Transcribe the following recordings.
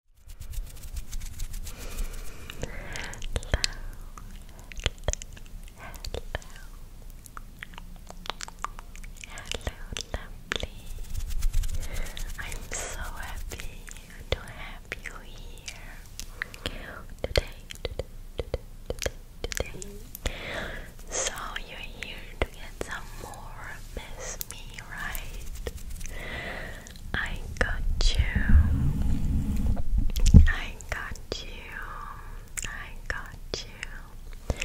hello, lovely. I'm so happy to have you here today. So you're here to get some more Miss Me, right? I got you. I got you. I got you.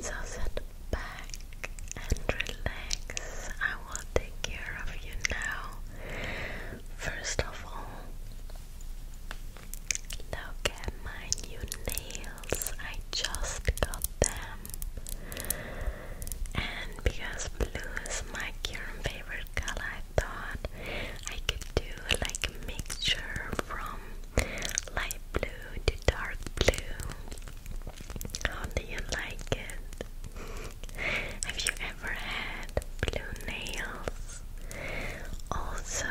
So sit back and relax. I will take care of you now. First of all, look at my new nails. I just got them. And because blue is my current favorite color, I thought I could do like a mixture from light blue to dark blue. How do you like it? Have you ever had blue nails? Also,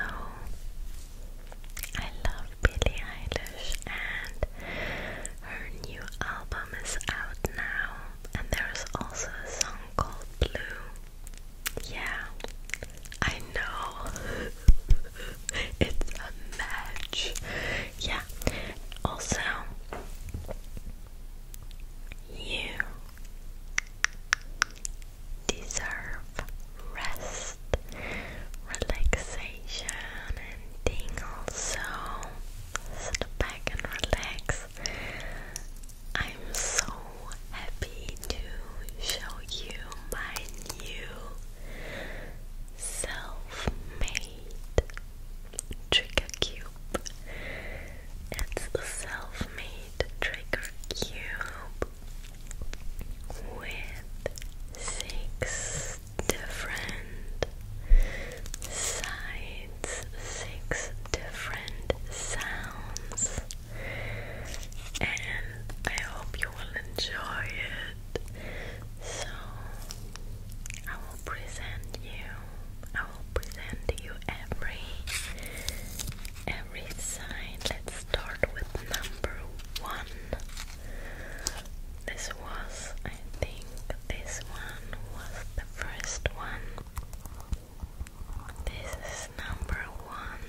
I love Billie Eilish and her new album is out now, and there is also a song called Blue. Yeah, I know. it's a match. Yeah, also, you deserve rest, relaxation, and tingles. So, sit back and relax. I'm so happy to show you my new self made trigger cube. It's a self made trigger cube with six different sides, six different sounds, and I hope you will enjoy it. So, I will present you, I will present you every every sign. Let's start with number one. This was, I think, this one was the first one. This is number one.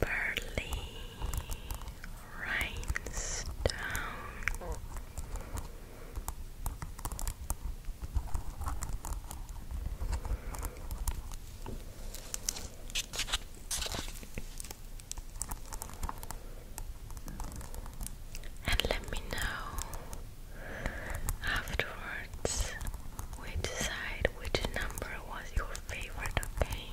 Burley Rhinestone and let me know afterwards which side, which number was your favorite, okay?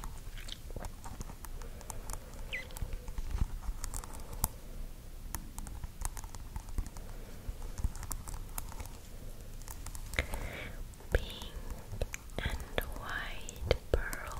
Pink, and white pearls.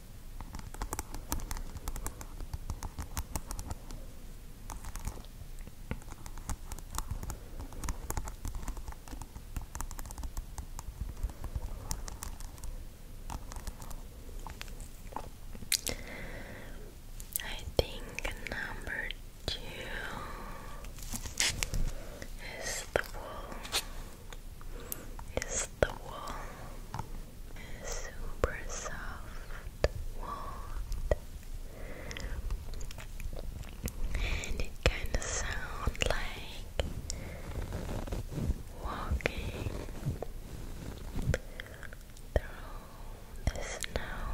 I think number two is the wall is the wool. A super soft wool. And it kind of sounds like walking through the snow.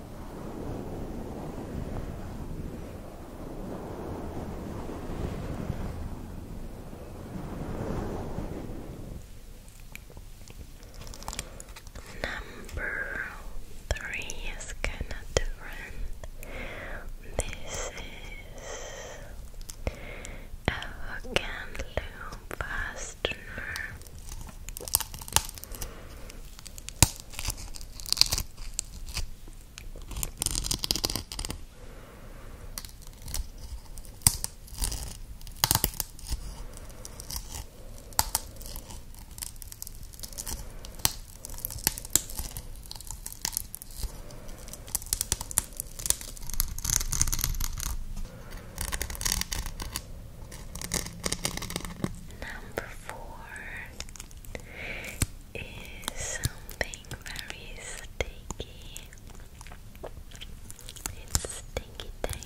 Number three is kind of different. This is a hook and loop fastener. Number four is something very sticky. It's sticky tape. Tape. Sticky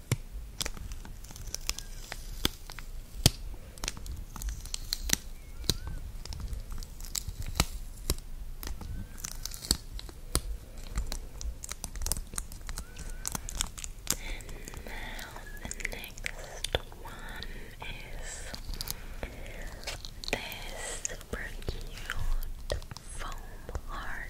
And now uh, the next one is this super heart.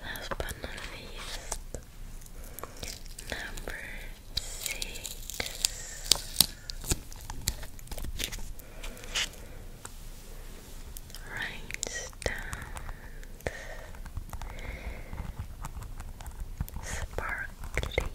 Last but number six. Rhinestones, sparkly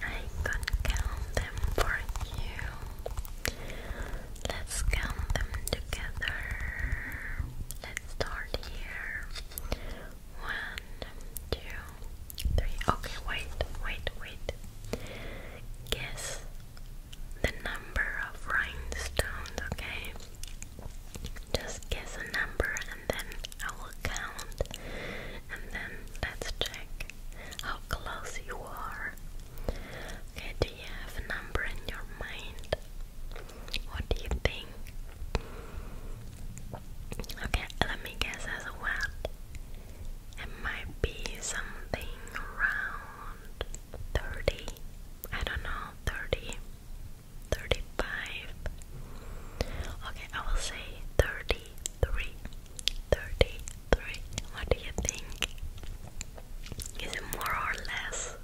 I can count them for you. Let's count them together. Let's start here. One, two, three. Okay, wait, wait, wait. Guess the number of rhinestones, okay? Just guess a number and then I will count and then let's check how close you are. Okay, do you have a number in your mind? What do you think? Okay, let me guess as well. It might be something around 30. I don't know, 30 thirty-five. Okay, I will say thirty-three. What do you think? Is it more or less?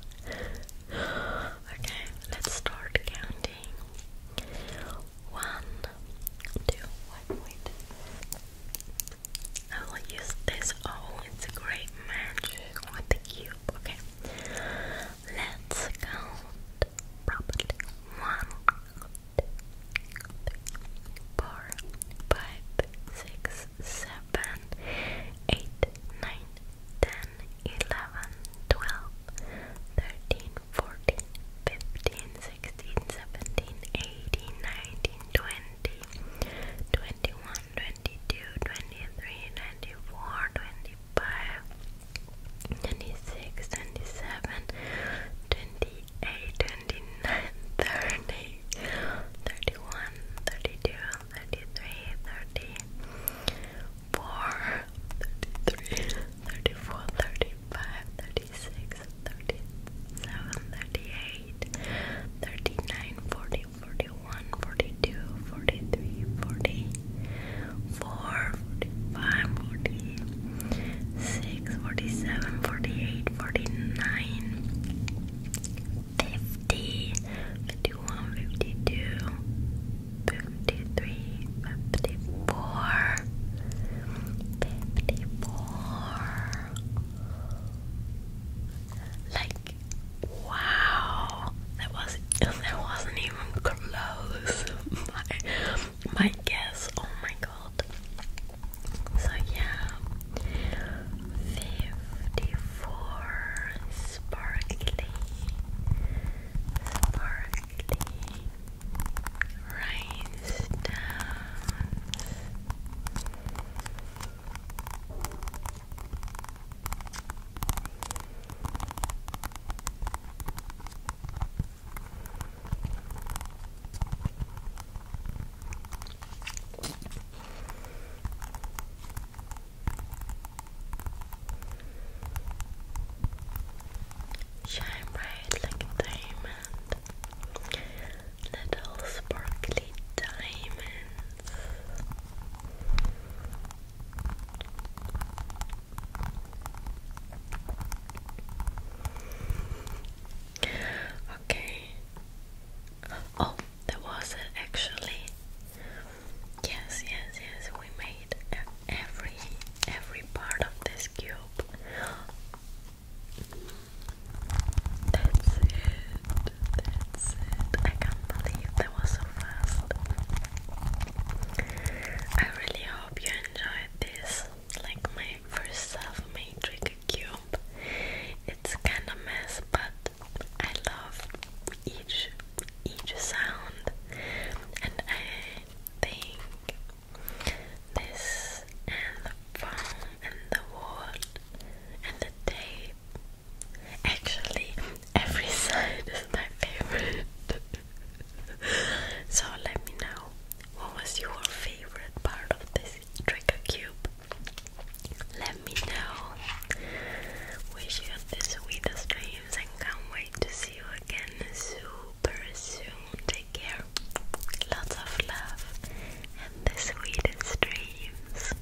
Okay, let's start counting. One, I will use this. Oh, it's a great match with cube. Okay, Let's count properly. One, two, three, four, five, six, seven, eight, nine, ten, eleven, twelve, thirteen, fourteen, fifteen, sixteen, seventeen, eighteen, nineteen, twenty, twenty-one, twenty-two, twenty-three, twenty-four, twenty. 26, 27, 28, 29, 30, 31, 32, 33, 34, 33, 34, 35, 36, 37, 38, 39, 40, 41, 42, 43, 44, 45, 46, 47, 48, 49, 50, 51, 52, 53, 54, wow, that wasn't that wasn't even close. my my guess. Oh my god. So yeah, fifty-four sparkly, sparkly rhinestones. Shine bright like a diamond, little sparkly diamonds. Okay. Oh, that was it actually. Yes, yes, yes. We made every every part of this cube. That's it. That's it. I can't believe that was so fast. I really hope you enjoyed this, like my first self-made trick cube. It's kind of mess, but I love each each sound, and I think this and the foam and the wood and the tape. Actually, every side is my favorite. so let me know what was your favorite part of this trigger cube. Let me know. Wish you the sweetest dreams and can't wait to see you again super soon. Take care. Lots of love and the sweetest dreams.